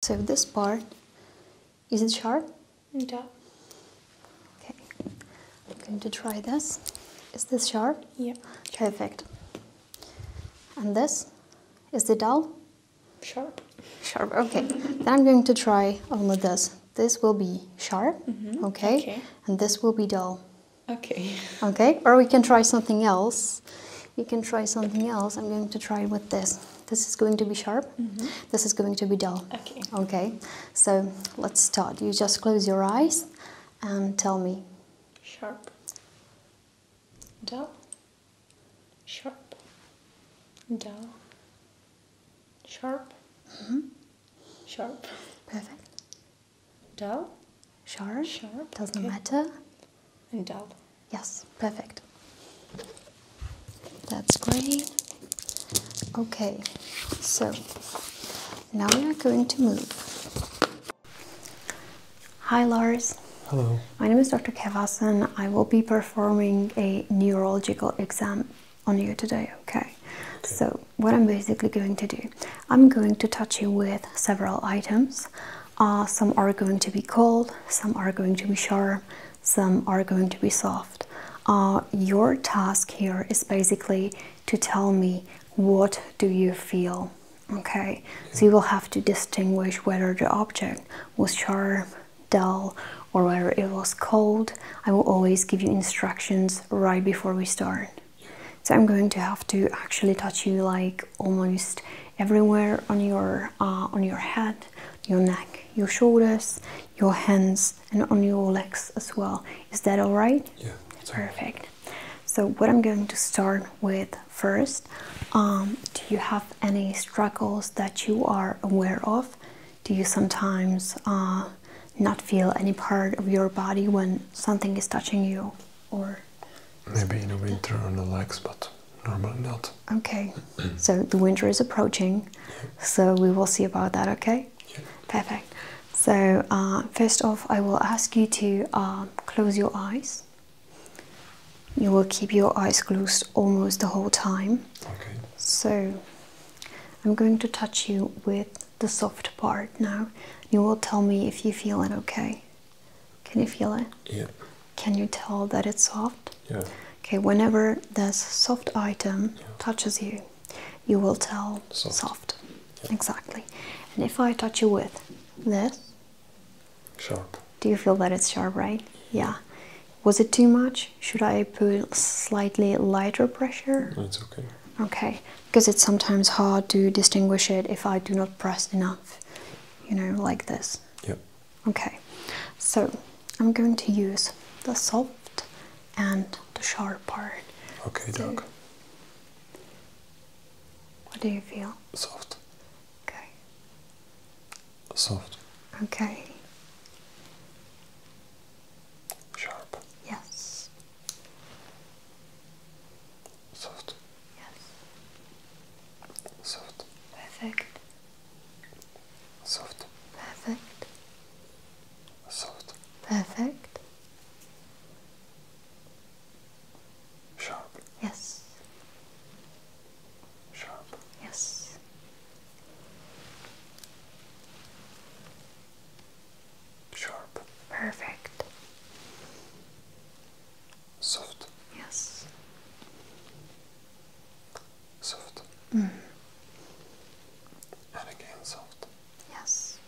So this part isn't sharp? No. Okay. I'm going to try this. Is this sharp? Yeah. Perfect. And this? Is the dull? Sharp. Sharp, okay. then I'm going to try only this. This will be sharp, mm-hmm. okay? And this will be dull. Okay. Okay, or we can try something else you can try something else. I'm going to try with this. This is going to be sharp. Mm-hmm. This is going to be dull. Okay. Okay. So let's start. You just close your eyes and tell me. Sharp. Dull. Sharp. Dull. Sharp. -hmm. Sharp. Perfect. Dull. Sharp. Sharp. Doesn't matter and dull. Yes, perfect. That's great. Okay, so now we are going to move. Hi, Lars. Hello. My name is Dr. Kevasan. I will be performing a neurological exam on you today, okay? So what I'm basically going to do, I'm going to touch you with several items. Uh, some are going to be cold, some are going to be sharp, some are going to be soft. Uh, your task here is basically to tell me what do you feel. Okay, so you will have to distinguish whether the object was sharp, dull, or whether it was cold. I will always give you instructions right before we start. So I'm going to have to actually touch you like almost everywhere on your uh, on your head your neck, your shoulders, your hands, and on your legs as well. Is that all right? Yeah. Perfect. So, what I'm going to start with first um, do you have any struggles that you are aware of? Do you sometimes uh, not feel any part of your body when something is touching you? or Maybe in the winter on the legs, but normally not. Okay, so the winter is approaching, so we will see about that, okay? Perfect. So, uh, first off, I will ask you to um, close your eyes. You will keep your eyes closed almost the whole time. Okay. So, I'm going to touch you with the soft part now. You will tell me if you feel it okay. Can you feel it? Yeah. Can you tell that it's soft? Yeah. Okay, whenever this soft item touches you, you will tell soft. Exactly. And if I touch you with this, sharp. Do you feel that it's sharp, right? Yeah. Was it too much? Should I put slightly lighter pressure? No, it's okay. Okay, because it's sometimes hard to distinguish it if I do not press enough, you know, like this. Yep. Okay, so I'm going to use the soft and the sharp part. Okay, Doug. What do you feel? Soft. Okay. Soft. Okay. Sharp. Yes. Soft. Yes. Soft. Perfect soft perfect soft perfect sharp yes sharp yes sharp perfect soft yes soft. Mm. And again soft. Yes.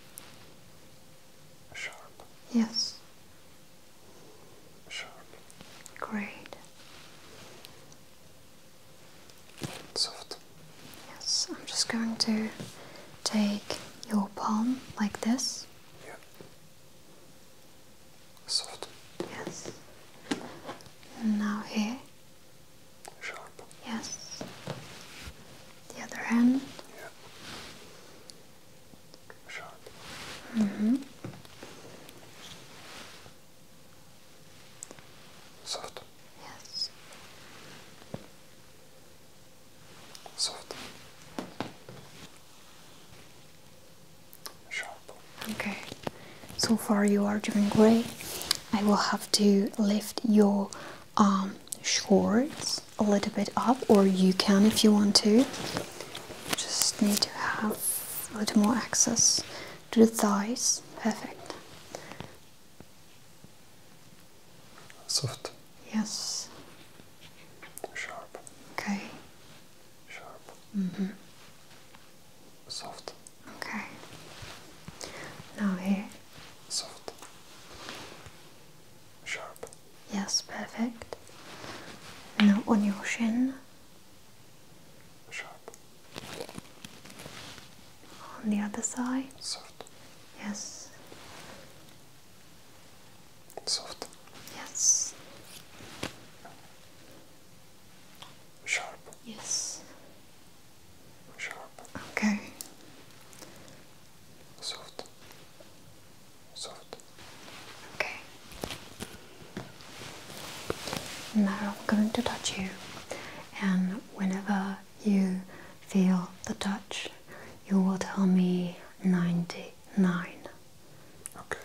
Sharp. Yes. Sharp. Great. Soft. Yes, I'm just going to take your palm like this. Yeah. Soft. Yes. now here. Sharp. Yes. The other hand. Yeah. Sharp. hmm. Soft. Yes. Soft. Okay, so far you are doing great. I will have to lift your um, shorts a little bit up, or you can if you want to. Just need to have a little more access to the thighs. Perfect. Soft. Yes. Sharp. Okay. Sharp. Mm -hmm. Soft. Okay. Now here. Soft. Sharp. Yes, perfect. Now on your shin. Sharp. On the other side. Soft. Yes. Soft. Yes. Sharp. Yes. Sharp. Okay. Soft. Soft. Okay. Now I'm going to touch you, and whenever you feel the touch, you will tell me ninety nine. Okay.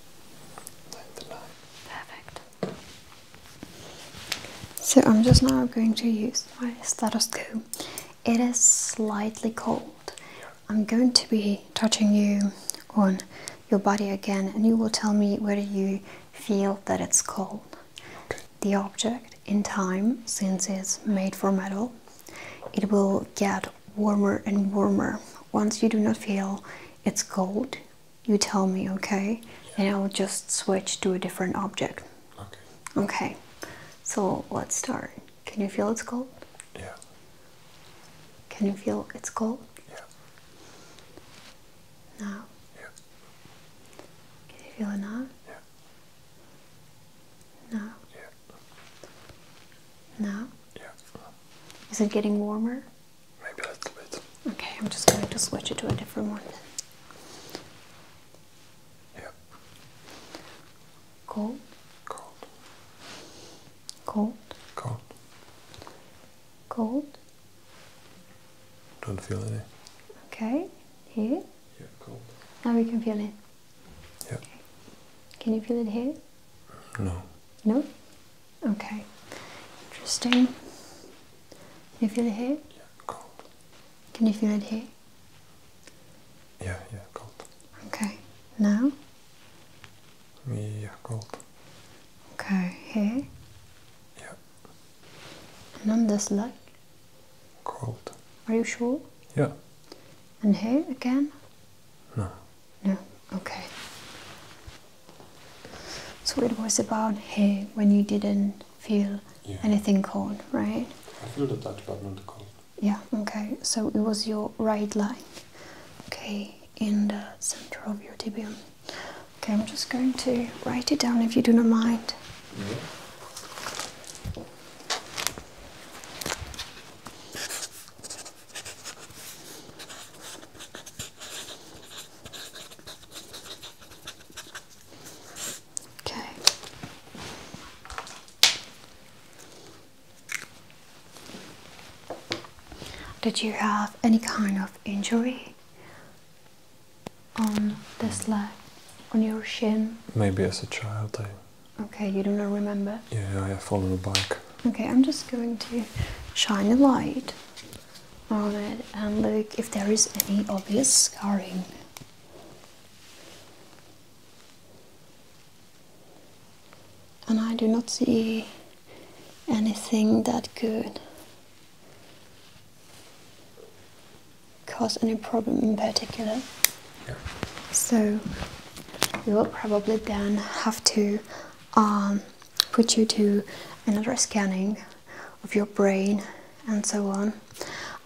Perfect. So I'm just now going to use my stethoscope. It is slightly cold. I'm going to be touching you on your body again and you will tell me whether you feel that it's cold. The object in time, since it's made from metal, it will get warmer and warmer. Once you do not feel it's cold, you tell me, okay? And I'll just switch to a different object. Okay. Okay. So let's start. Can you feel it's cold? Yeah. Can you feel it's cold? Yeah. Now? Yeah. Can you feel it now? Yeah. Now? Yeah. Now? Yeah. Is it getting warmer? Maybe a little bit. Okay, I'm just going to switch it to a different one. Yep. Cold. Cold. Cold. Cold. Cold. Don't feel any. Okay. Here? Yeah, cold. Now we can feel it. Yeah. Okay. Can you feel it here? No. No? Okay, interesting. Can you feel it here? Yeah, cold. Can you feel it here? Yeah, yeah, cold. Okay, now? Me, Yeah, cold. Okay, here? Yeah. And on this leg? Cold. Are you sure? Yeah. And here again? No. No? Okay. So it was about hey, when you didn't feel anything cold, right? I feel the touch, but not the cold. Yeah, okay. So it was your right leg, okay, in the center of your tibium. Okay, I'm just going to write it down if you do not mind. Yeah. Okay. Did you have any kind of injury on this leg, on your shin? Maybe as a child. Okay, you do not remember? Yeah, I fell on a bike. Okay, I'm just going to shine a light on it and look if there is any obvious scarring. And I do not see anything that could cause any problem in particular. So we will probably then have to um, put you to another scanning of your brain and so on.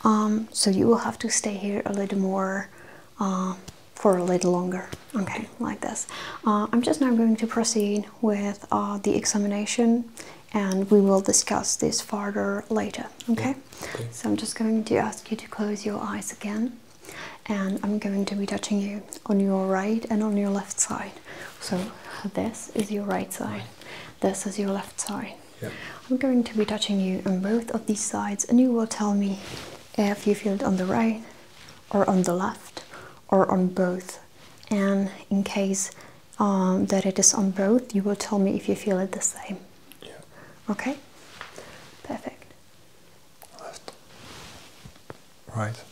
Um, so you will have to stay here a little more uh, for a little longer. Okay, like this. Uh, I'm just now going to proceed with uh, the examination and we will discuss this further later. okay? So I'm just going to ask you to close your eyes again and I'm going to be touching you on your right and on your left side so this is your right side this is your left side yep. i'm going to be touching you on both of these sides and you will tell me if you feel it on the right or on the left or on both and in case um, that it is on both you will tell me if you feel it the same yeah. okay perfect left, right,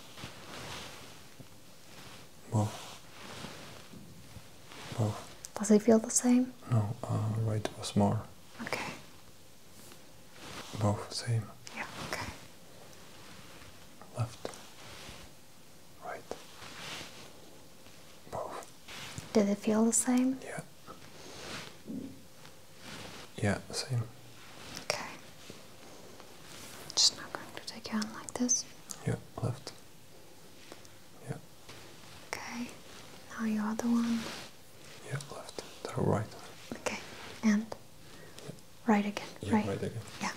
both, both. Does it feel the same? No, uh, right was more. Okay. Both same. Yeah, okay. Left, right, both. Did it feel the same? Yeah. Yeah, same. Okay. Just not going to take your hand like this. Yeah, left. Yeah. Okay. Now your other one. Yeah, left. The right. Okay. And right again. Yeah, right. right again. Yeah.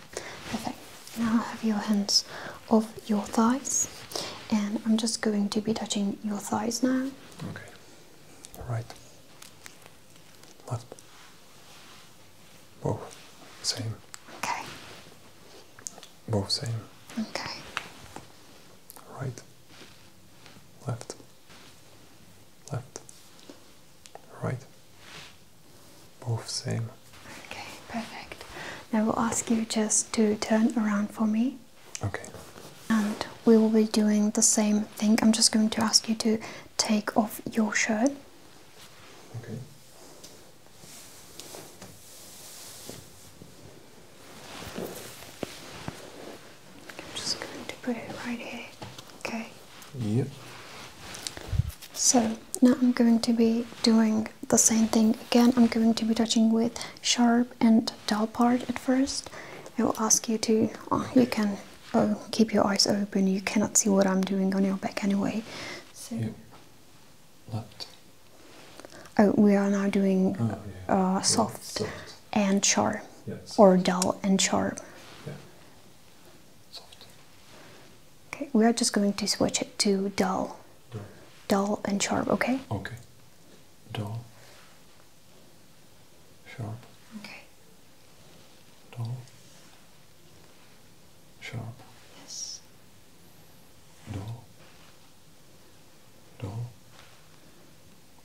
Perfect. Now have your hands off your thighs, and I'm just going to be touching your thighs now. Okay. Right left. Both same. Okay. Both same. Okay. Right. Left. Left. Right. Both same. Okay, perfect. Now we'll ask you just to turn around for me. Okay. And we will be doing the same thing. I'm just going to ask you to take off your shirt. Okay. I'm just going to put it right here. Okay. Yep. So now I'm going to be doing the same thing again. I'm going to be touching with sharp and dull part at first. I will ask you to, uh, you can oh, keep your eyes open. You cannot see what I'm doing on your back anyway. So. You Oh, we are now doing oh, uh, soft, and sharp, or dull and sharp. Yeah. Soft. Okay, we are just going to switch it to dull. Dull, dull and sharp. Okay. Okay. Dull. Sharp. Okay dull, sharp, yes, dull, dull,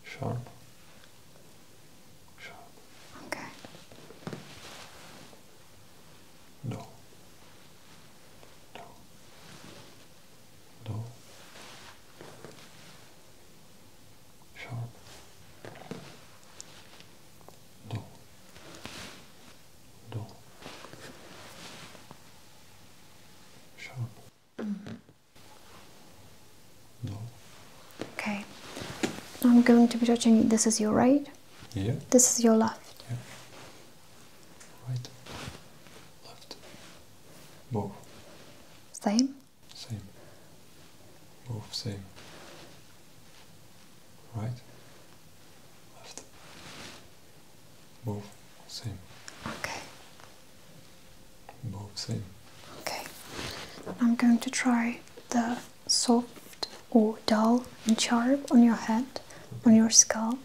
sharp, sharp, okay, dull, dull, dull, sharp, dull dull, sharp, Okay, I'm going to be touching. This is your right. Yeah. This is your left. Yeah. Right, left, both. Same. Same. Both same right, left, both same. Okay. Both same. Okay. I'm going to try the soft or dull and sharp on your head, on your skull.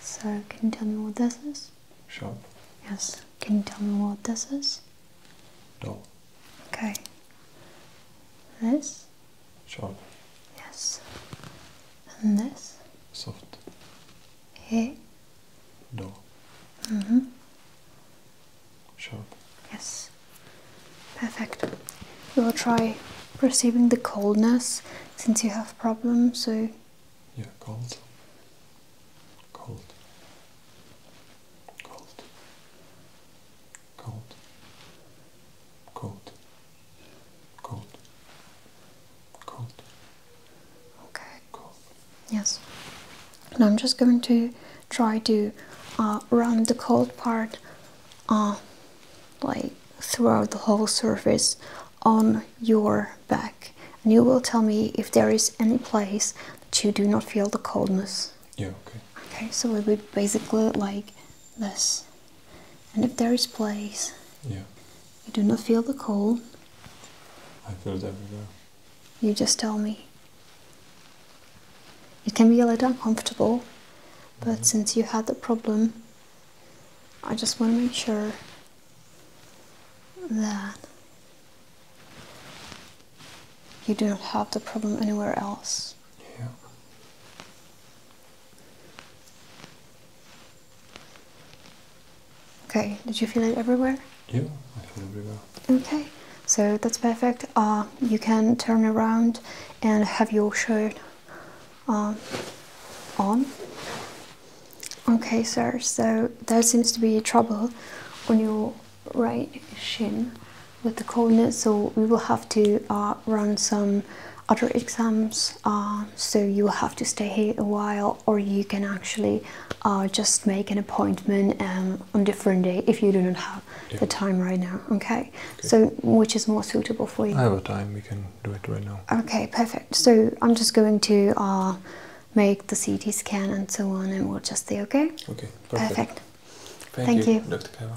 So can you tell me what this is? Sharp. Yes. Can you tell me what this is? Dull. Okay. This? Sharp. Yes. And this? Soft. Hey. No. Mm hmm Sharp. Yes. Perfect. We will try perceiving the coldness since you have problems, so... Yeah, cold. Cold. Cold cold, cold, cold, cold. Okay. Yes. And I'm just going to try to uh, run the cold part uh, like throughout the whole surface on your back and you will tell me if there is any place that you do not feel the coldness okay. Okay, so it would basically look like this. And if there is place, yeah. you do not feel the cold. I feel it everywhere. You just tell me. It can be a little uncomfortable, but mm-hmm. since you had the problem, I just want to make sure that you do not have the problem anywhere else. Yeah. Okay, did you feel it everywhere? Yeah, everywhere. Okay, so that's perfect. Uh, you can turn around and have your shirt uh, on. Okay, sir, so there seems to be trouble on your right shin with the coordinates so we will have to uh, run some other exams uh, so you will have to stay here a while or you can actually uh, just make an appointment um, on different day if you do not have the time right now okay? so which is more suitable for you i have a time we can do it right now okay perfect so i'm just going to make the ct scan and so on and we'll just say okay okay perfect, Thank, you, dr Kaiwa.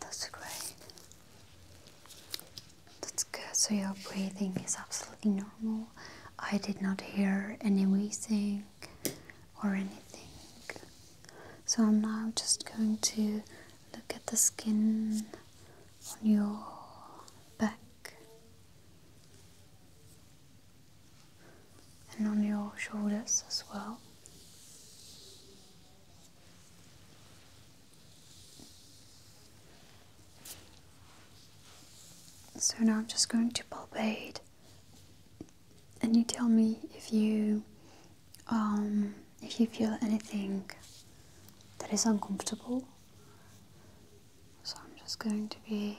that's great. That's good. So your breathing is absolutely normal. I did not hear any wheezing or anything. So I'm now just going to look at the skin on your back and on your shoulders as well. So now I'm just going to palpate, and you tell me if you um, if you feel anything that is uncomfortable. So I'm just going to be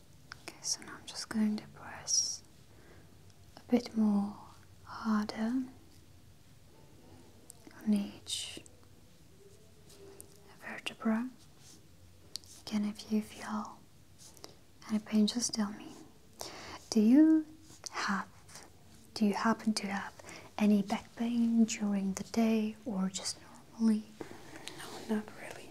Okay, so now I'm just going to press a bit more harder on each vertebra. Again, if you feel any pain, just tell me. Do you have, do you happen to have any back pain during the day or just normally? No, not really.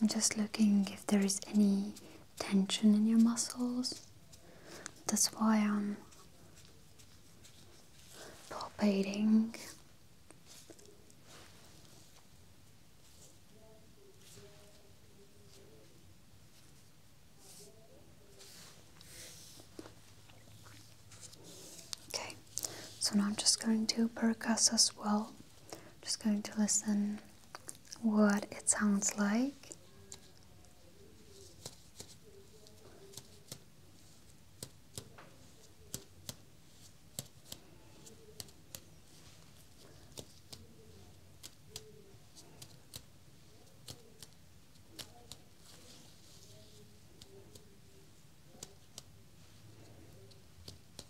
I'm just looking if there is any tension in your muscles. That's why I'm palpating. Okay, so now I'm just going to percuss as well. I'm just going to listen what it sounds like.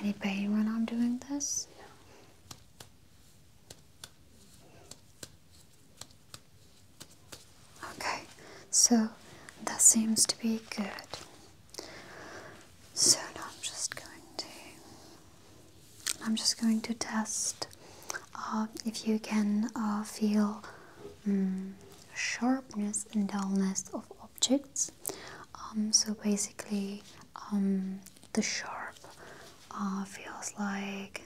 Any pain when I'm doing this? No. Okay, so that seems to be good. So now I'm just going to, I'm just going to test uh, if you can uh, feel mm, sharpness and dullness of objects. Um, so basically, um, the sharp uh, feels like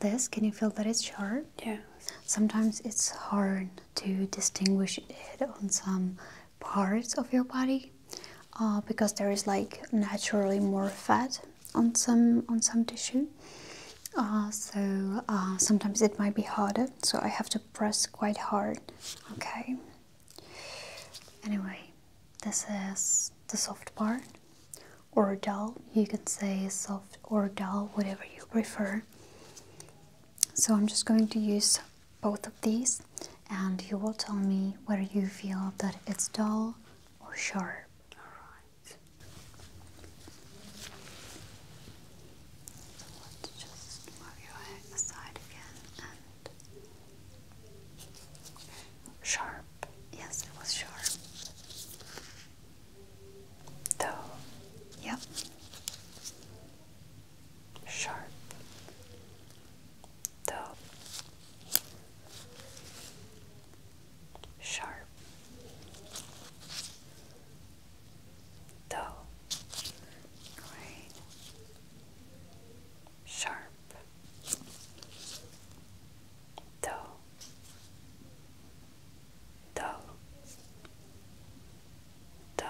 this. Can you feel that it's sharp? Yeah. Sometimes it's hard to distinguish it on some parts of your body uh, because there is like naturally more fat on some on some tissue. Uh, so sometimes it might be harder. So I have to press quite hard. Okay. Anyway, this is the soft part or dull. You can say soft or dull, whatever you prefer. So I'm just going to use both of these and you will tell me whether you feel that it's dull or sharp. Alright. let's just move your head aside again and Sharp. Yes, it was sharp. Though, yep. Sharp. Though. Sharp. Though. Right sharp do do do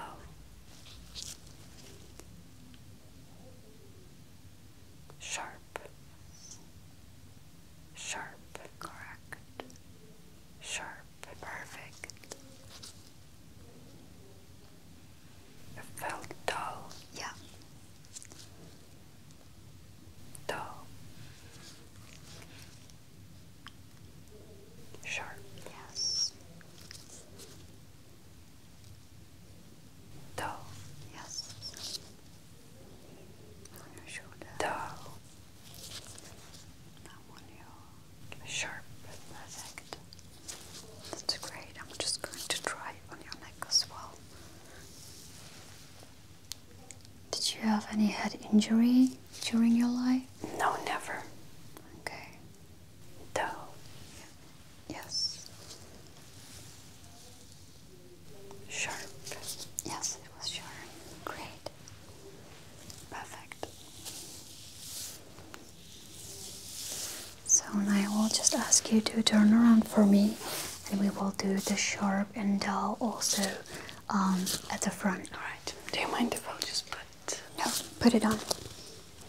sharp sharp correct sharp perfect it felt dull. Yeah. Dull. Sharp. Yes. Dull. Yes. On your shoulder. Dull. Now on your. Sharp. Perfect. That's great. I'm just going to try on your neck as well. Did you have any head injury during your life? No, never. Okay. No. Yes. Sharp. Yes, it was sharp. Great. Perfect. So now I will just ask you to turn around for me and we will do the sharp and dull also um, at the front. Alright, do you mind if i just put... No, put it on.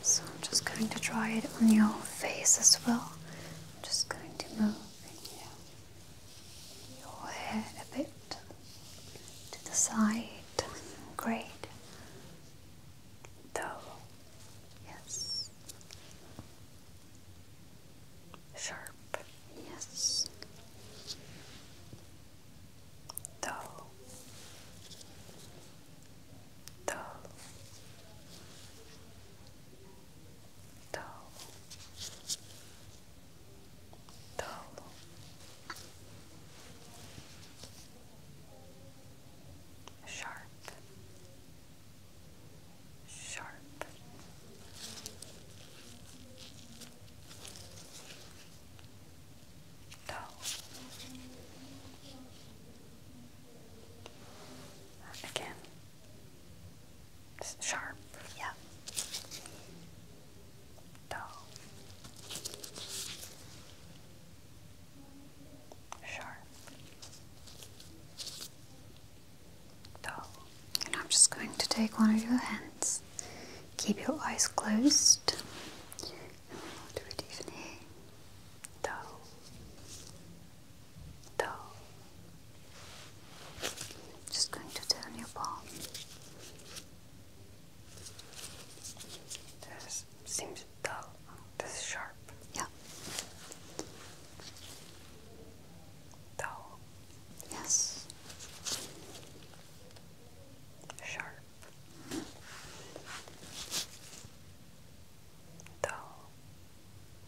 So I'm just going to try it on your face as well. I'm just going to move your head a bit to the side. Great though, yes. Sharp, yes. Though, though, though, though sharp, sharp. Dull. Again, sharp, yeah. Dull. Sure. Dull. I'm just going to take one of your hands. Keep your eyes closed. do it even here. Dull. Dull. Just going to turn your palm. There seems dull. This is sharp. Yeah. Dull. Yes. Sharp. Dull.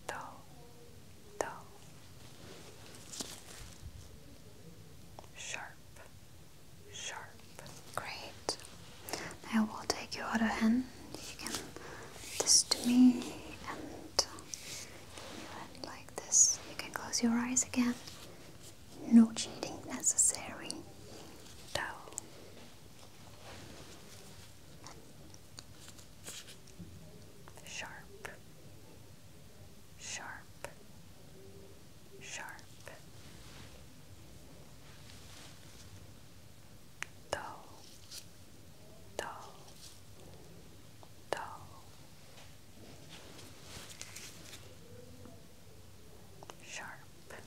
Dull. Dull. Sharp. Sharp. Great. Now we'll take your other hand. You can this to me and your hand like this. You can close your eyes again. No cheating necessary. No. Sharp. Sharp. Sharp. Do, do, do. Sharp. Do, do,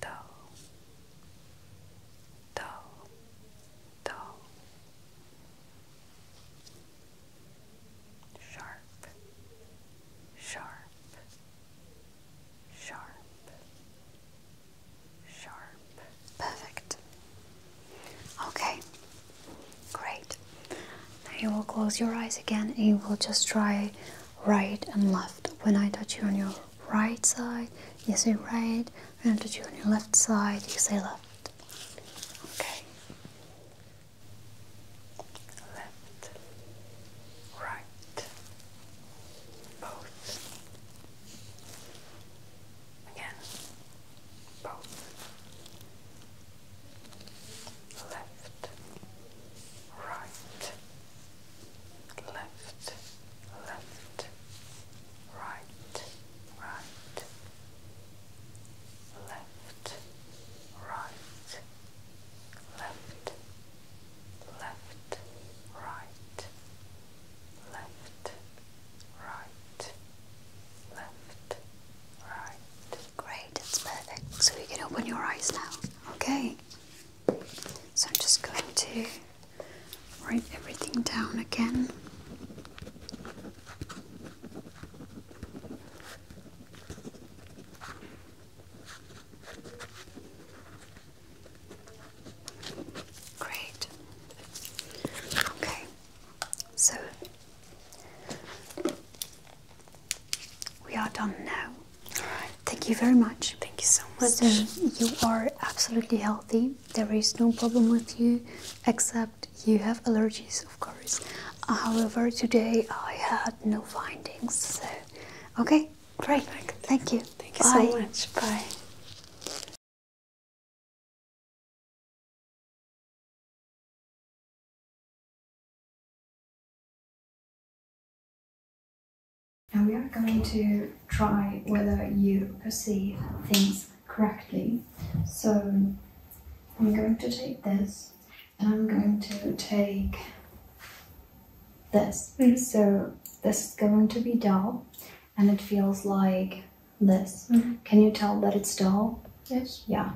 do sharp, sharp, sharp, sharp. Perfect. Okay, great. Now you will close your eyes again you will just try right and left. When I touch you on your right side, you say right. When I touch you on your left side, you say left. Okay left, right, both, again, both, left, right, left, left, right, right left, right, left, left, right, left, right, left, right. Great, that's perfect. So you can open your eyes now. Okay. So I'm just going to write everything down again. Great. Okay, so we are done now. Thank you very much. Thank you so much. So you are absolutely healthy. There is no problem with you except you have allergies, of course. However, today I had no findings, so okay, great. Thank you. Thank you so much. Bye. Now we are going to try whether you perceive things correctly. So I'm going to take this and I'm going to take this. Mm-hmm. So this is going to be dull and it feels like this. Mm-hmm. Can you tell that it's dull? Yes. Yeah.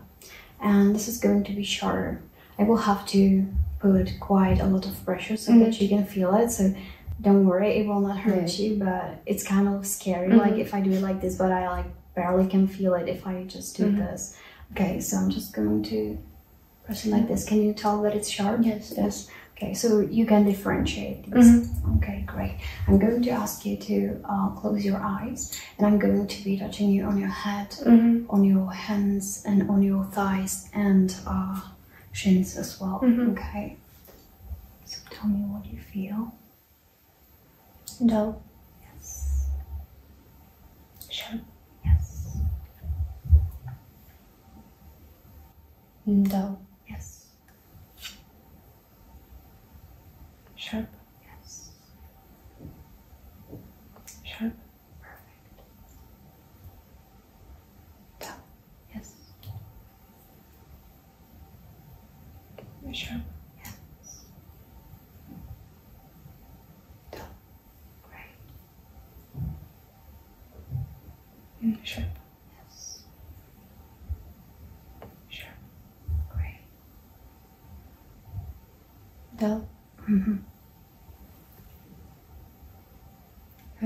And this is going to be sharp. I will have to put quite a lot of pressure so that mm-hmm. you can feel it. So don't worry, it will not hurt you, but it's kind of scary. Like if I do it like this, but I like barely can feel it if I just do mm-hmm. this. Okay, so I'm just going to press it like this. Can you tell that it's sharp? Yes. Yes. Okay, so you can differentiate these. Mm-hmm. Okay, great. I'm going to ask you to uh, close your eyes and I'm going to be touching you on your head, mm-hmm. on your hands and on your thighs and uh, shins as well. Okay. So tell me what you feel. Dough. Yes. Shell. Yes. Dough. Yes. Sharp. Yes. Sharp. Perfect. Dough. Yes. Sharp. Yes. Done. Great. Mm, sure. Yes. Sure. Great. Dull. Mm-hmm.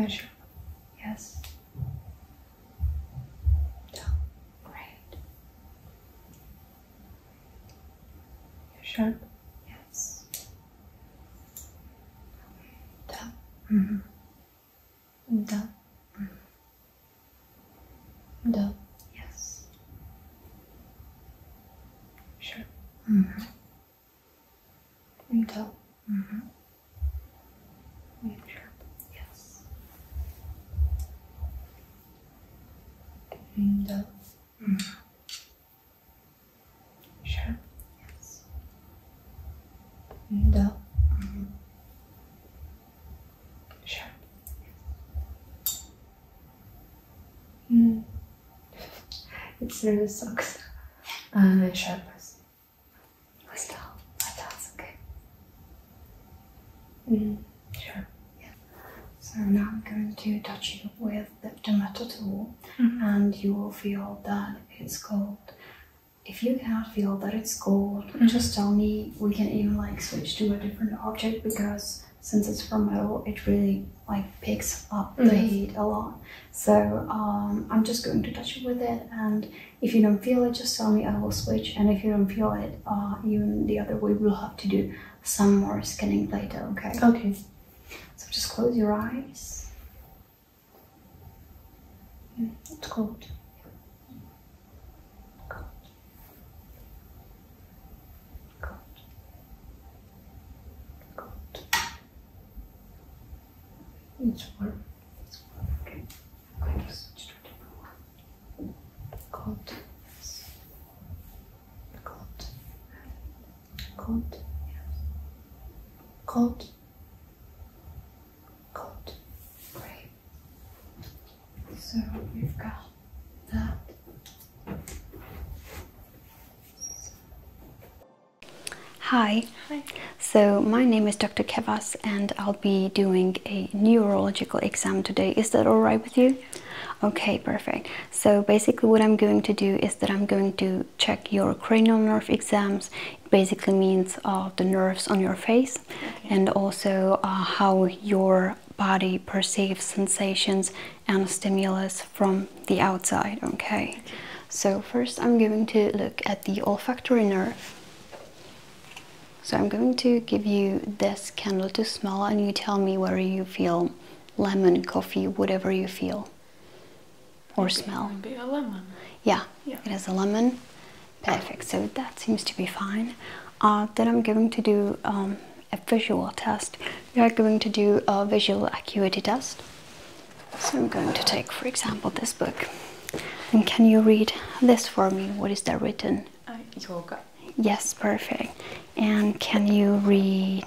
sure. Yes. Dull. Great you Yes. Down. Mm -hmm. Down. Yes. Sharp. Mm -hmm. Down. Sure. Yes. And up. -hmm. it's really sucks. Uh, sharpness. What's that? That's okay. Mm. Sure. Yeah. So now I'm going to touch you with the tomato tool, mm-hmm. and you will feel that it's cold. If you cannot feel that it's cold, mm-hmm. just tell me. We can even like switch to a different object because since it's from metal, it really like picks up the mm-hmm. heat a lot. So um, I'm just going to touch you with it, and if you don't feel it, just tell me. I will switch, and if you don't feel it, uh, even the other way, will have to do some more scanning later, okay? Okay. So just close your eyes. It's cold. Cold. Cold. Cold. It's warm. It's warm. Okay. Okay, just try to Cold. Cold. Cold. Cold. Cold. Right. So we've got that. Hi. Hi. So my name is Dr. Kevas and I'll be doing a neurological exam today. Is that all right with you? Okay, perfect. So basically what I'm going to do is that I'm going to check your cranial nerve exams. It basically means uh, the nerves on your face and also uh, how your body perceives sensations and stimulus from the outside, okay? So first I'm going to look at the olfactory nerve. So I'm going to give you this candle to smell and you tell me where you feel lemon, coffee, whatever you feel or smell. It a lemon. Yeah, it has a lemon. Perfect. So that seems to be fine. Uh, then I'm going to do um, a visual test. We are going to do a visual acuity test. So I'm going to take, for example, this book. And can you read this for me? What is there written? Uh, Yes, perfect. And can you read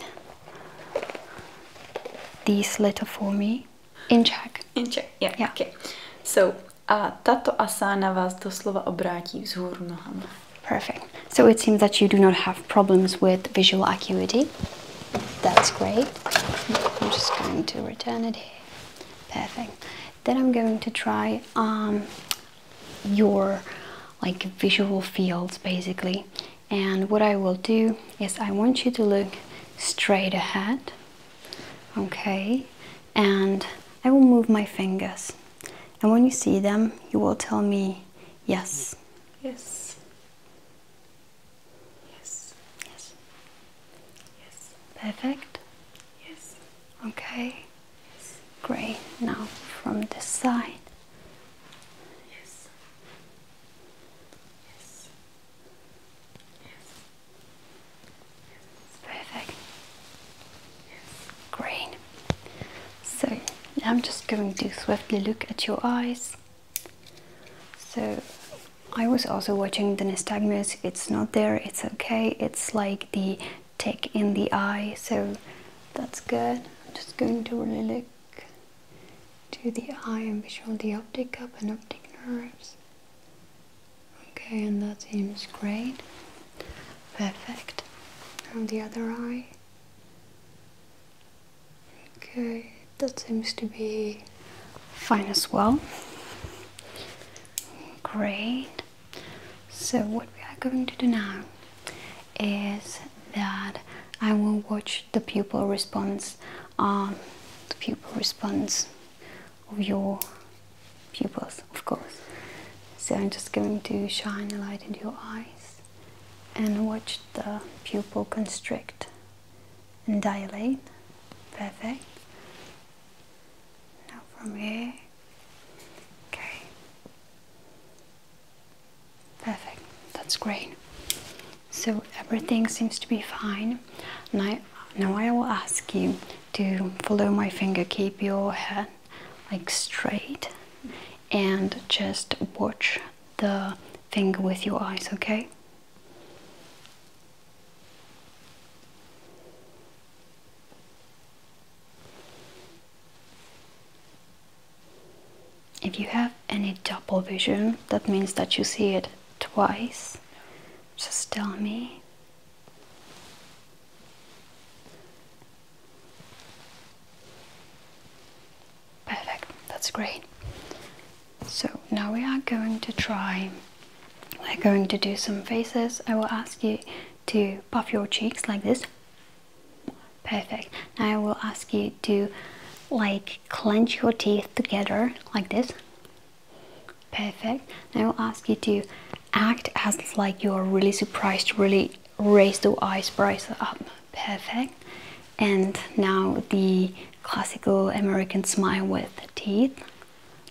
this letter for me? In Czech. In Czech, yeah. yeah. Okay. So, tato asana vás doslova obrátí vzhůru nohama. Perfect. So it seems that you do not have problems with visual acuity. That's great. I'm just going to return it Perfect. Then I'm going to try um, your like visual fields basically and what I will do is I want you to look straight ahead okay and I will move my fingers and when you see them you will tell me yes yes yes yes yes perfect yes okay Great. now from the side. Yes. Yes. Yes. Perfect. Yes. Green. So I'm just going to swiftly look at your eyes. So I was also watching the nystagmus. It's not there. It's okay. It's like the tick in the eye. So that's good. I'm just going to really look to the eye and visual the optic cup and optic nerves. Okay, and that seems great. Perfect. On the other eye. Okay, that seems to be fine as well. Great. So what we are going to do now is that I will watch the pupil response, um, the pupil response of your pupils, of course. So I'm just going to shine a light into your eyes and watch the pupil constrict and dilate. Perfect. Now from here. Okay. Perfect, that's great. So everything seems to be fine. And now I will ask you to follow my finger, keep your head like straight and just watch the finger with your eyes, okay? If you have any double vision, that means that you see it twice. Just tell me. Perfect, that's great. So now we are going to try, we're going to do some faces. I will ask you to puff your cheeks like this. Perfect. Now I will ask you to like clench your teeth together like this. Perfect. I will ask you to act as like you are really surprised, really raise the eyes, eyebrows up. Perfect. And now the classical American smile with teeth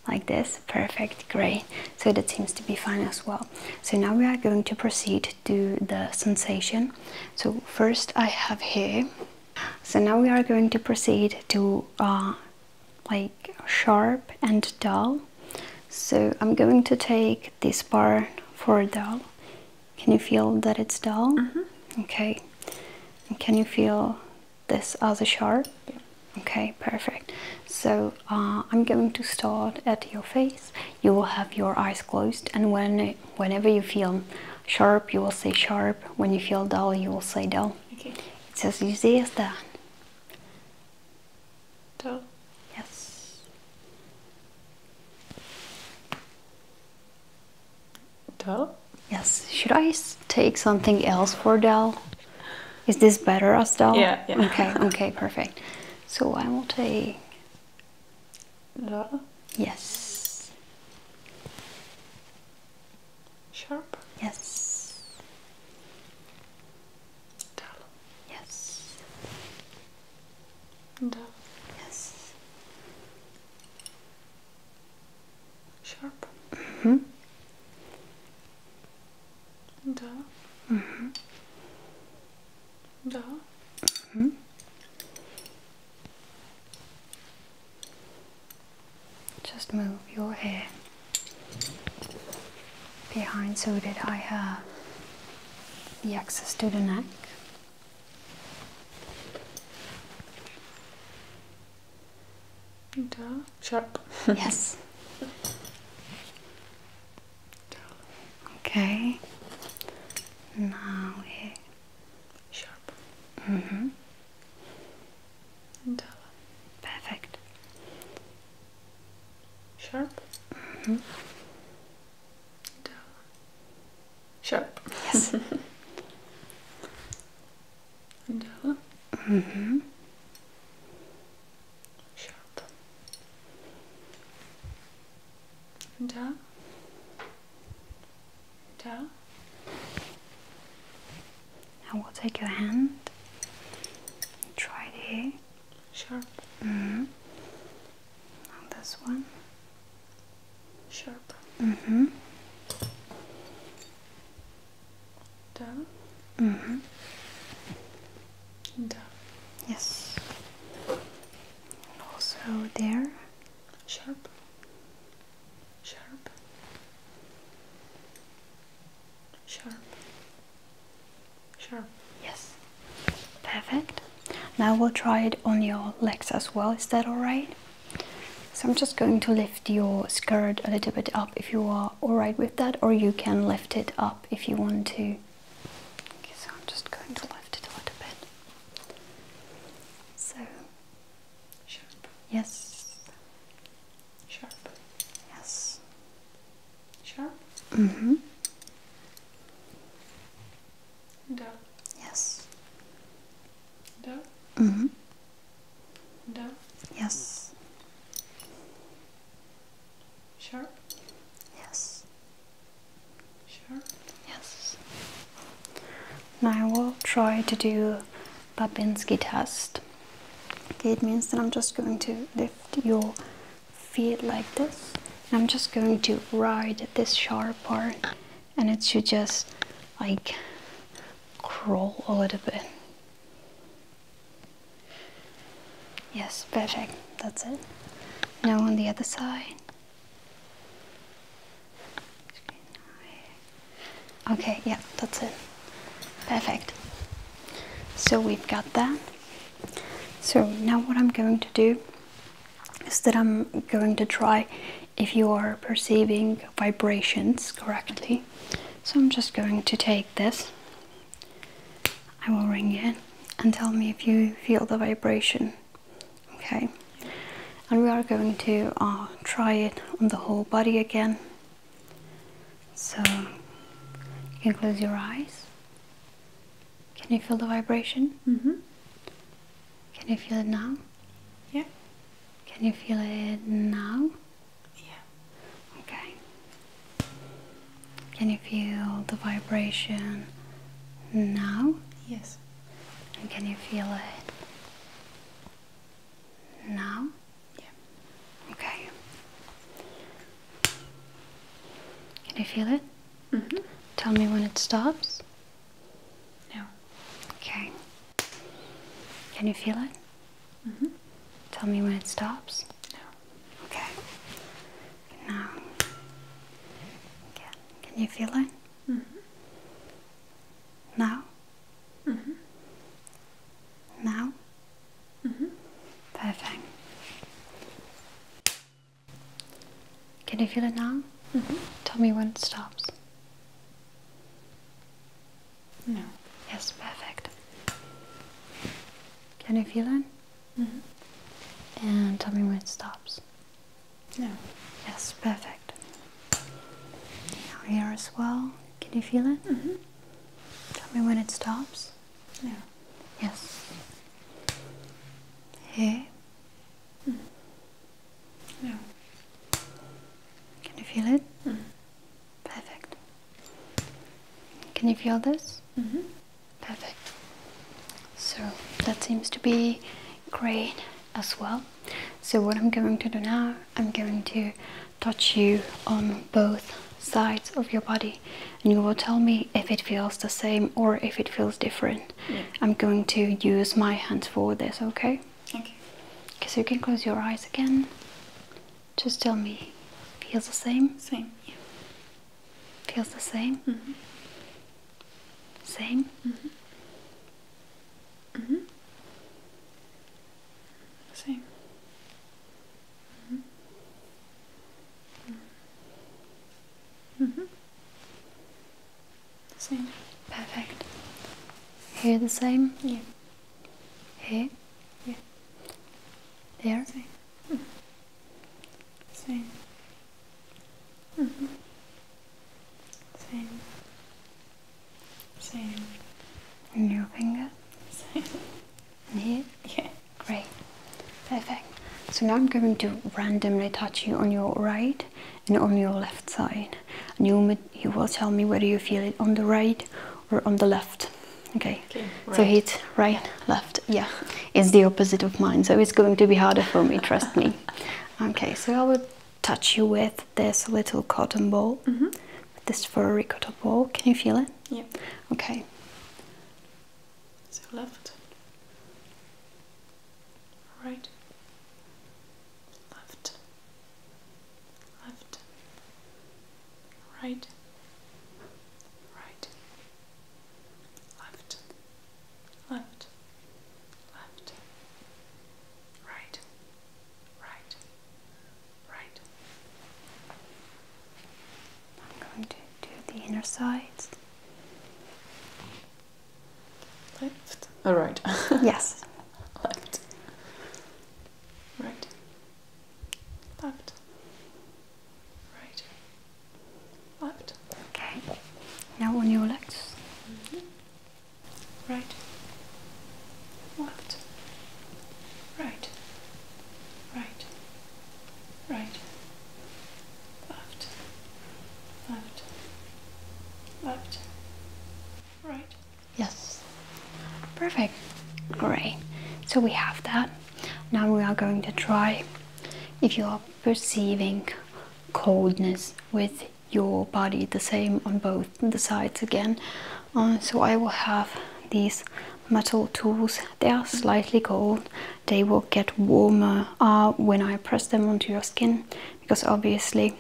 like this perfect great so that seems to be fine as well so now we are going to proceed to the sensation so first i have here so now we are going to proceed to uh, like sharp and dull so i'm going to take this bar for dull can you feel that it's dull mm-hmm. okay can you feel this other sharp okay perfect so uh, i'm going to start at your face you will have your eyes closed, and when whenever you feel sharp, you will say sharp. When you feel dull, you will say dull. Okay. It's as easy as that. Dull. Yes. Dull. Yes. Should I take something else for dull? Is this better as dull? Yeah. yeah. Okay. Okay. Perfect. So I will take Laura? Yes. Sharp? Yes. Dull? Yes. Dull? Yes. Sharp? Mm-hmm. Dull? Mm-hmm. Dull? Hmm? Just move your hair behind so that I have the access to the neck. And, sharp. yes. Okay. Now here. Sharp. Mm hmm. And Perfect. Sharp. Mm hmm. And Sharp. Yes. and Mm hmm. Sharp da, da. Now we'll take your hand, try it here. Sure. Mm -hmm. Now this one. Sure. Mm hmm. Da. hmm. Da. Yes also there sharp sharp sharp sharp yes perfect now we'll try it on your legs as well is that all right so i'm just going to lift your skirt a little bit up if you are all right with that or you can lift it up if you want to Okay, so I'm just going to lift it a little bit. So, sharp. Yes. Sharp. Yes. Sharp. Mm-hmm. Down. Yes. Down. Mm-hmm. Down. Yes. Sharp. Yes. Sure. Yes. Now I will try to do Babinski test. it means that I'm just going to lift your feet like this. And I'm just going to ride this sharp part and it should just like crawl a little bit. Yes, perfect. That's it. Now on the other side. Okay, yeah, that's it. Perfect. So we've got that. So now what I'm going to do is that I'm going to try if you are perceiving vibrations correctly. So I'm just going to take this. I will ring it and tell me if you feel the vibration okay and we are going to uh, try it on the whole body again so you can close your eyes can you feel the vibration mm-hmm can you feel it now yeah can you feel it now yeah okay can you feel the vibration now yes can you feel it now? Yeah. Okay. Can you feel it? Mm hmm Tell me when it stops. No. Okay. Can you feel it? Mm hmm Tell me when it stops. No. Okay. Now. Can you feel it? Mm-hmm. Now. Mm-hmm. Now. Mm-hmm. Perfect. Can you feel it now? Tell me when it stops. No. Yes, perfect. Can you feel it? And tell me when it stops. No. Yes, perfect. Now here as well. Can you feel it? Mm-hmm. Tell me when it stops. No. Yes. Here. No. Mm. Can you feel it? Mm. Perfect. Can you feel this? Mm-hmm. Perfect so that seems to be great as well so what i'm going to do now i'm going to touch you on both sides of your body and you will tell me if it feels the same or if it feels different i'm going to use my hands for this okay okay okay so you can close your eyes again just tell me feels the same same yeah. feels the same mm -hmm. Same? Mm-hmm. Mm-hmm. mm-hmm. Same. Mm-hmm. mm-hmm. Mm-hmm. Same. Perfect. Here the same? Yeah. Here? Yeah. There? Same. Mm. Same. Mm-hmm. Same. Same. your finger? Same. And Yeah. Great. Perfect. So now I'm going to randomly touch you on your right and on your left side. you, will tell me whether you feel it on the right or on the left. Okay. So hit right, left. Yeah. It's the opposite of mine, so it's going to be harder for me, trust me. Okay, so I will touch you with this little cotton ball. Mm-hmm. This is for ricotta ball. Can you feel it? Yeah. Okay. So left, right, left, left, right, right, left left, left, right, right, right. I'm going to do the inner sides. Left, oh, all yes. Left, right, left, right, left. Okay. Now on your legs. Mm-hmm. Right. Left. Right. Right. Right. Left. Left. Left. Right. Yes. Perfect. Great. So we have that. Now we are going to try if you are perceiving coldness with your body the same on both the sides again um, so I will have these metal tools they are slightly cold they will get warmer uh, when I press them onto your skin because obviously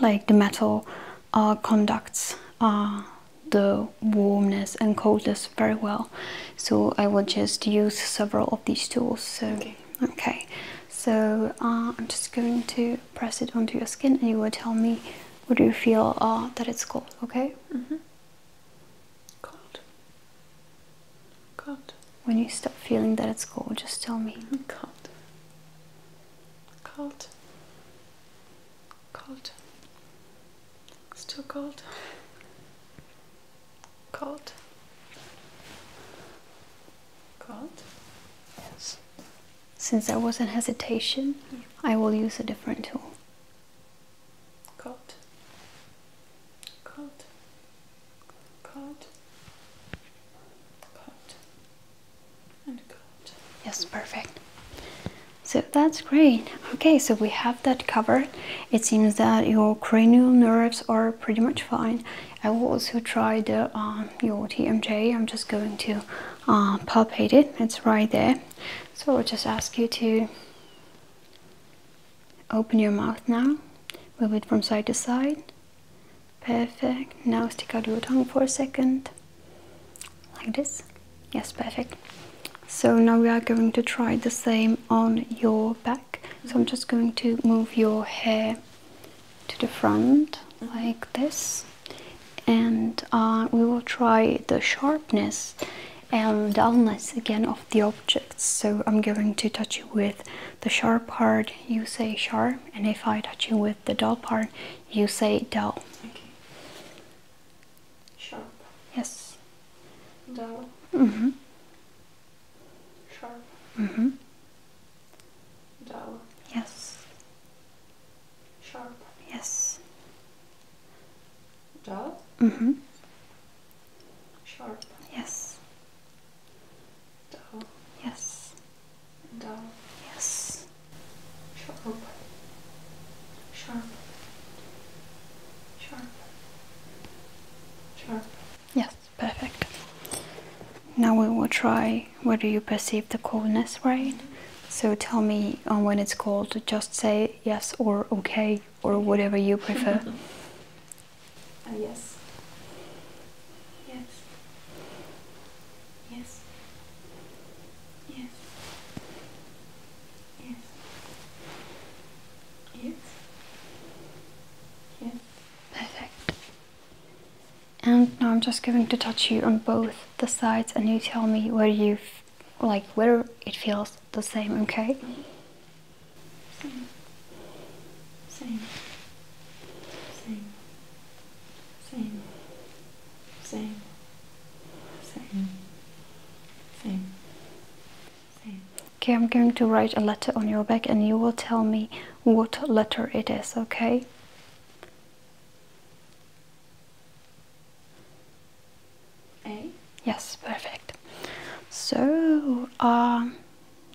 like the metal uh, conducts uh, the warmness and coldness very well so I will just use several of these tools so okay. So uh, I'm just going to press it onto your skin, and you will tell me what do you feel uh, that it's cold? Okay. Mm-hmm. Cold. Cold. When you stop feeling that it's cold, just tell me. Mm-hmm. Cold. Cold. Cold. Still cold. Cold. Cold? Yes. Since there was a hesitation, I will use a different tool. Cold. Cold. Cold. Cold. And cold. Yes, perfect. So that's great. Okay, so we have that covered. It seems that your cranial nerves are pretty much fine. I will also try the um, your TMJ. I'm just going to uh, palpate it. It's right there. So I'll just ask you to open your mouth now. Move it from side to side. Perfect. Now stick out your tongue for a second. Like this. Yes, perfect. So now we are going to try the same on your back. So I'm just going to move your hair to the front mm-hmm. like this and uh, we will try the sharpness and dullness again of the objects so i'm going to touch you with the sharp part you say sharp and if i touch you with the dull part you say dull okay. sharp yes dull mm -hmm sharp. Mm-hmm. Dull. Yes. Sharp. Yes. Dull. Mm-hmm. Sharp. Yes. Dull. Yes. Dull. Yes. Sharp. Sharp. Sharp. Sharp. Yes perfect. Now we will try whether you perceive the coldness, right? So tell me um, when it's cold, just say yes or okay or whatever you prefer. uh, yes. Yes. Yes. Yes. Yes. Yes. Yes. Perfect. And now I'm just going to touch you on both the sides and you tell me where you like where it feels the same, okay? Same. Same. Same. Same. Same. Same. Same. Okay, I'm going to write a letter on your back and you will tell me what letter it is, okay? A? Yes, perfect. So, uh,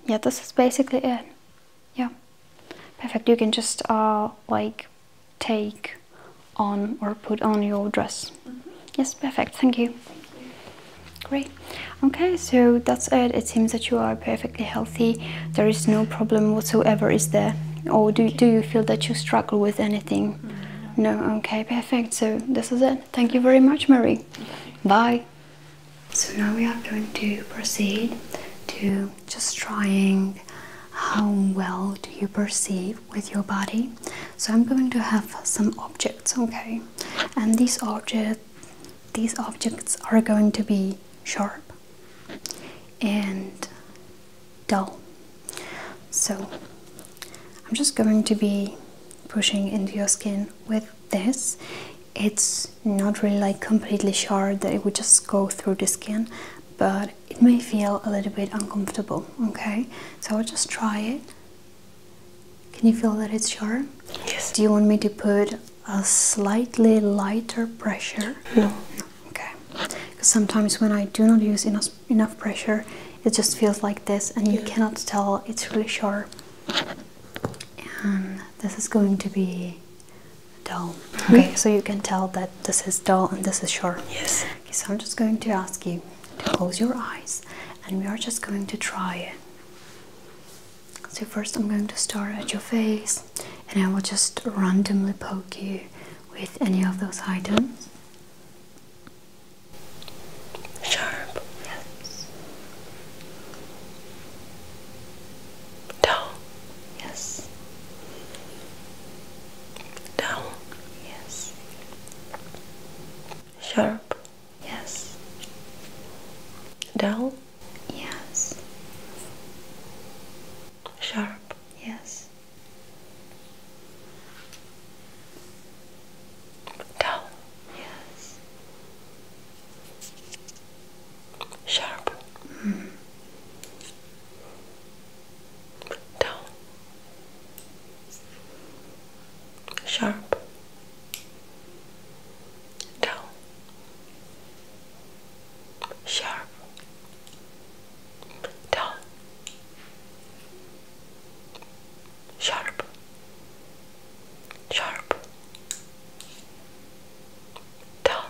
yeah, this is basically it. Yeah, perfect. You can just uh, like take on or put on your dress. Mm-hmm. Yes, perfect. Thank you. Thank you. Great okay so that's it it seems that you are perfectly healthy there is no problem whatsoever is there or do, do you feel that you struggle with anything no, okay perfect so this is it thank you very much marie bye so now we are going to proceed to just trying how well do you perceive with your body so i'm going to have some objects okay and these objects these objects are going to be sharp and dull. So I'm just going to be pushing into your skin with this. It's not really like completely sharp that it would just go through the skin, but it may feel a little bit uncomfortable, okay? So I'll just try it. Can you feel that it's sharp? Yes. Do you want me to put a slightly lighter pressure. No. Okay. Because sometimes when I do not use enough enough pressure, it just feels like this, and you cannot tell it's really sharp. And this is going to be dull. Hmm? Okay. So you can tell that this is dull and this is sharp. Yes. Okay, so I'm just going to ask you to close your eyes, and we are just going to try it. So first I'm going to start at your face and I will just randomly poke you with any of those items. Sharp. Yes. Down. Yes. Down. Yes. Sharp. Yes. Down. Yes. Sharp. Yes. Dull. Yes. Sharp. Mm. Dull. Sharp. Dull sharp, dull, sharp, sharp, dull,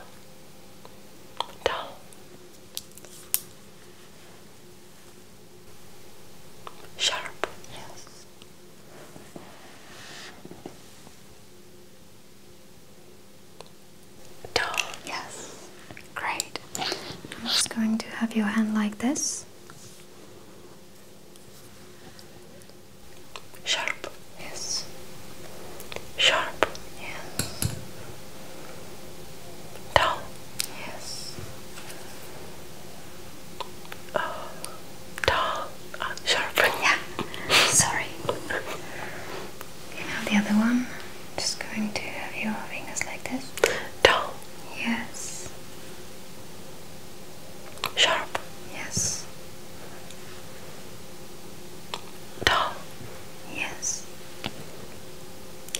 dull, sharp. Yes. Doll, yes. Great. I'm just going to have your hand like this. Sharp. Yes. Sharp. Yes. Doll. Yes. Oh tall uh, sharp. Yeah, sorry. You now the other one. Just going to have your fingers like this. Tall. Yes. Sharp. Yes. Tall. Yes.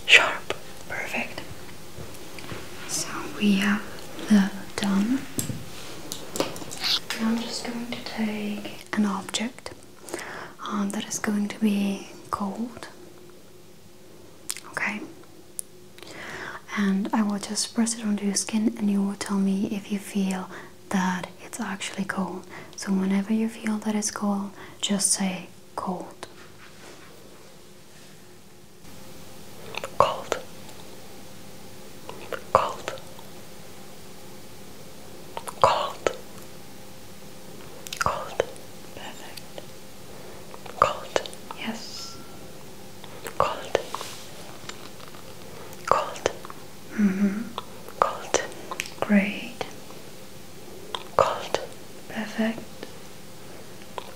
Sharp. Perfect. So we have the dumb. Now I'm just going to take an object um, that is going to be cold. Okay, and I will just press it onto your skin, and you will tell me if you feel that it's actually cold. So, whenever you feel that it's cold, just say cold. Cold. Cold. Cold. Cold. Perfect. Cold. Yes. Cold. Cold. Mm -hmm. Cold. Great. Cold. Perfect.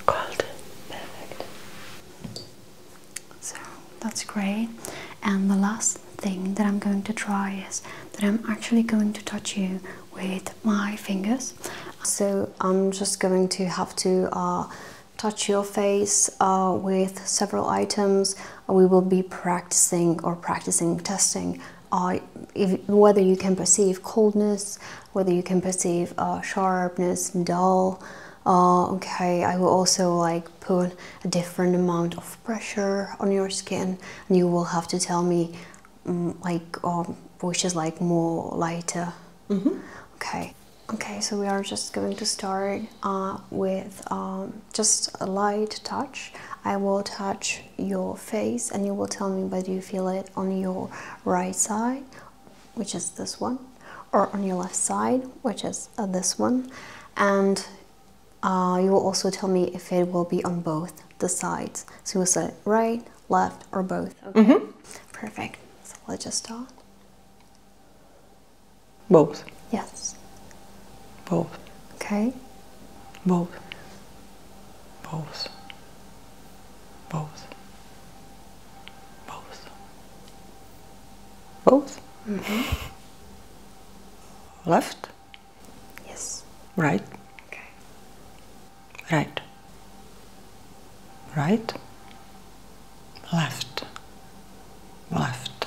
Cold. Perfect. So that's great. And the last thing that I'm going to try is that I'm actually going to touch you with my fingers. So I'm just going to have to uh, touch your face uh, with several items. We will be practicing or practicing testing uh, whether you can perceive coldness, whether you can perceive sharpness, dull. okay, I will also like put a different amount of pressure on your skin and you will have to tell me mm, like um, which is like more lighter mm-hmm. okay okay so we are just going to start uh, with um, just a light touch i will touch your face and you will tell me whether you feel it on your right side which is this one or on your left side which is uh, this one and uh, you will also tell me if it will be on both the sides. So you'll say right, left, or both. Mm-hmm. Perfect. So let's just start. Both. Yes. Both. Okay. Both. Both. Both. Both. Both. Mm-hmm. Left? Yes. Right? Okay. Right. Right? Left. Left.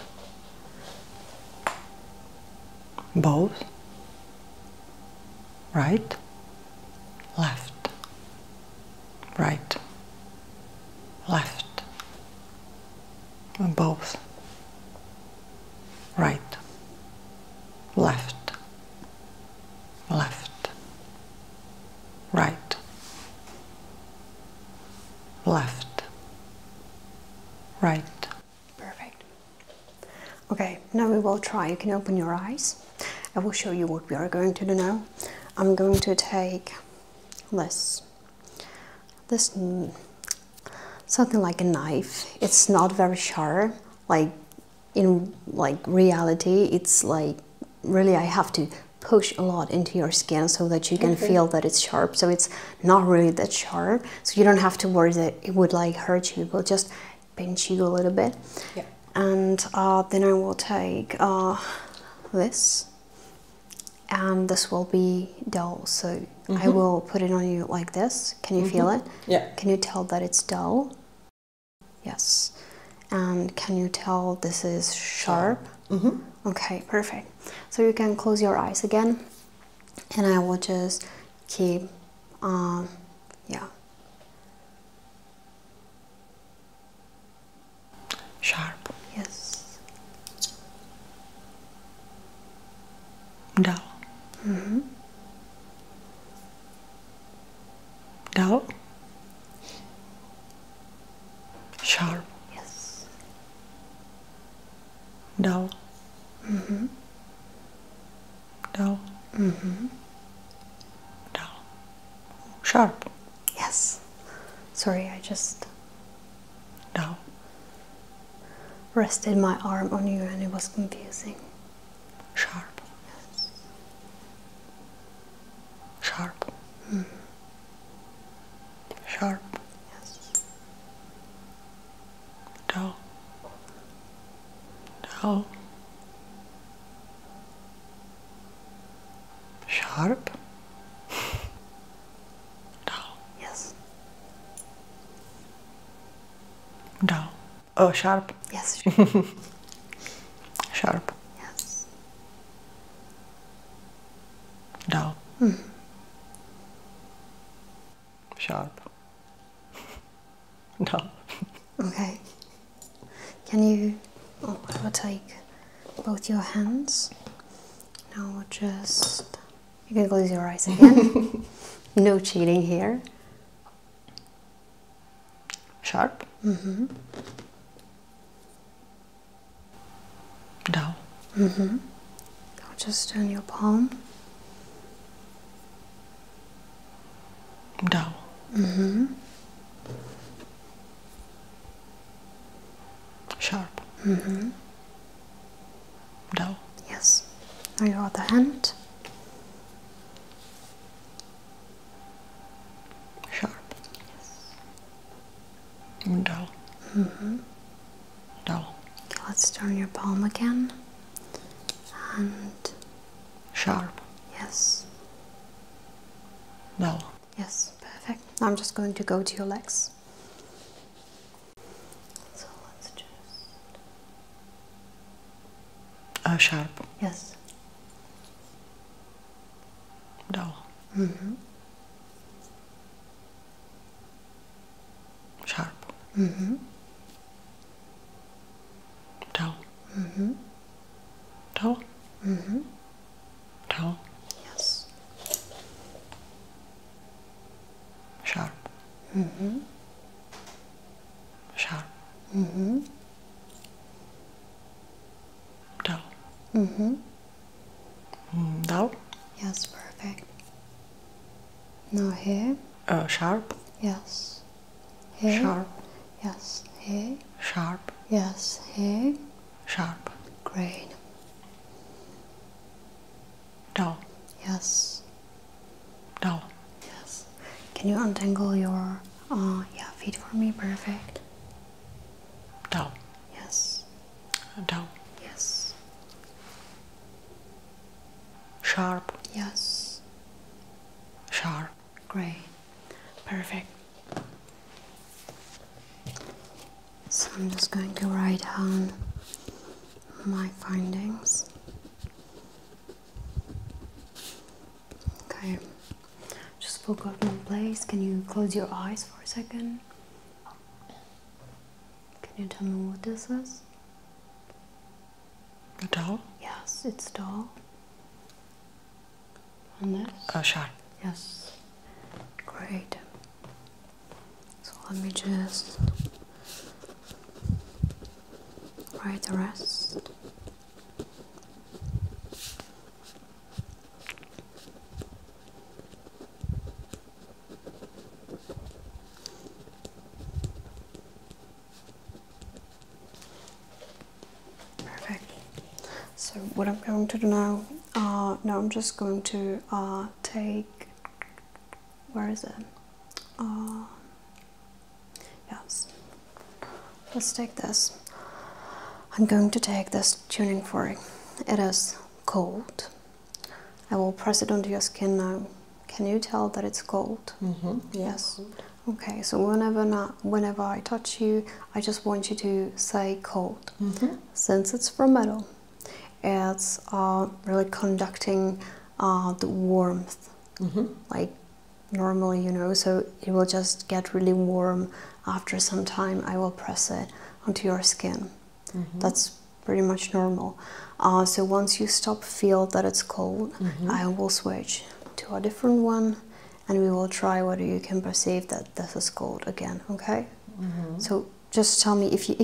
Both? Right? Left. Right. Left both right, left, left, right, left, right. Perfect. Okay, now we will try. You can open your eyes. I will show you what we are going to do now. I'm going to take this this something like a knife. It's not very sharp. Like in like reality, it's like really I have to push a lot into your skin so that you can feel that it's sharp. So it's not really that sharp. So you don't have to worry that it would like hurt you. we will just pinch you a little bit. Yeah. And uh, then I will take uh, this and this will be dull. So I mm-hmm. will put it on you like this. Can you feel mm-hmm. it? Yeah. Can you tell that it's dull? Yes. And can you tell this is sharp? -hmm. Okay, perfect. So you can close your eyes again, and I will just keep, um, yeah. Sharp. Yes. Dal. Mhm. Dal. Sharp. Yes. Dal. Mhm. Dal. Mhm. Dal. Sharp. Yes. Sorry, I just no. Rested my arm on you and it was confusing. Sharp. Yes. Sharp. Mm. Sharp. Yes. Dull. Dull. Sharp. Down. Yes. Down. Oh, sharp. Yes. Sharp. Yes. Down. Hmm. Sharp. Down. Okay. Can you? Oh, I will take both your hands. Now just you can close your eyes again. no cheating here. Sharp. Mm -hmm. Down. Mm -hmm. just turn your palm. Down. Mm -hmm. Sharp. Mm -hmm. Down. Yes. Now your other hand. Sharp. Yes. And dull. -hmm. Dull. Okay, let's turn your palm again. And sharp. Yes. Dull. Yes, perfect. I'm just going to go to your legs. So let's just. Oh, sharp. Yes. Down. -hmm. Sharp. -hmm. Down. -hmm. Down. -hmm. Down. Yes. Sharp. Mm-hmm. Mm-hmm. Mm-hmm. Mm -hmm. Sharp. Mm -hmm. Dull. Mm -hmm. Mm, Yes, perfect. Now here. Oh, sharp. Yes. Sharp. Yes. Here. Sharp. Yes. Here. Sharp. Great. Down. Yes. Down. Yes. Can you untangle your uh, yeah feet for me? Perfect. Down. Yes. Down. Yes. Sharp. Yes. Sharp. Great. Perfect. So I'm just going to write down my findings. Okay, just forgot one place. Can you close your eyes for a second? Can you tell me what this is? A doll? Yes, it's doll. On this? A uh, Yes. Great. So let me just write the rest. Perfect. So what I'm going to do now, uh, now I'm just going to uh, take where is it? Uh, yes. Let's take this. I'm going to take this tuning fork. It is cold. I will press it onto your skin now. Can you tell that it's cold? -hmm. Yes. Okay, so whenever not, whenever I touch you, I just want you to say cold. -hmm. Since it's from metal, it's uh, really conducting uh, the warmth mm-hmm. like normally you know so it will just get really warm after some time i will press it onto your skin mm-hmm. that's pretty much normal uh, so once you stop feel that it's cold mm-hmm. i will switch to a different one and we will try whether you can perceive that this is cold again okay so just tell me if you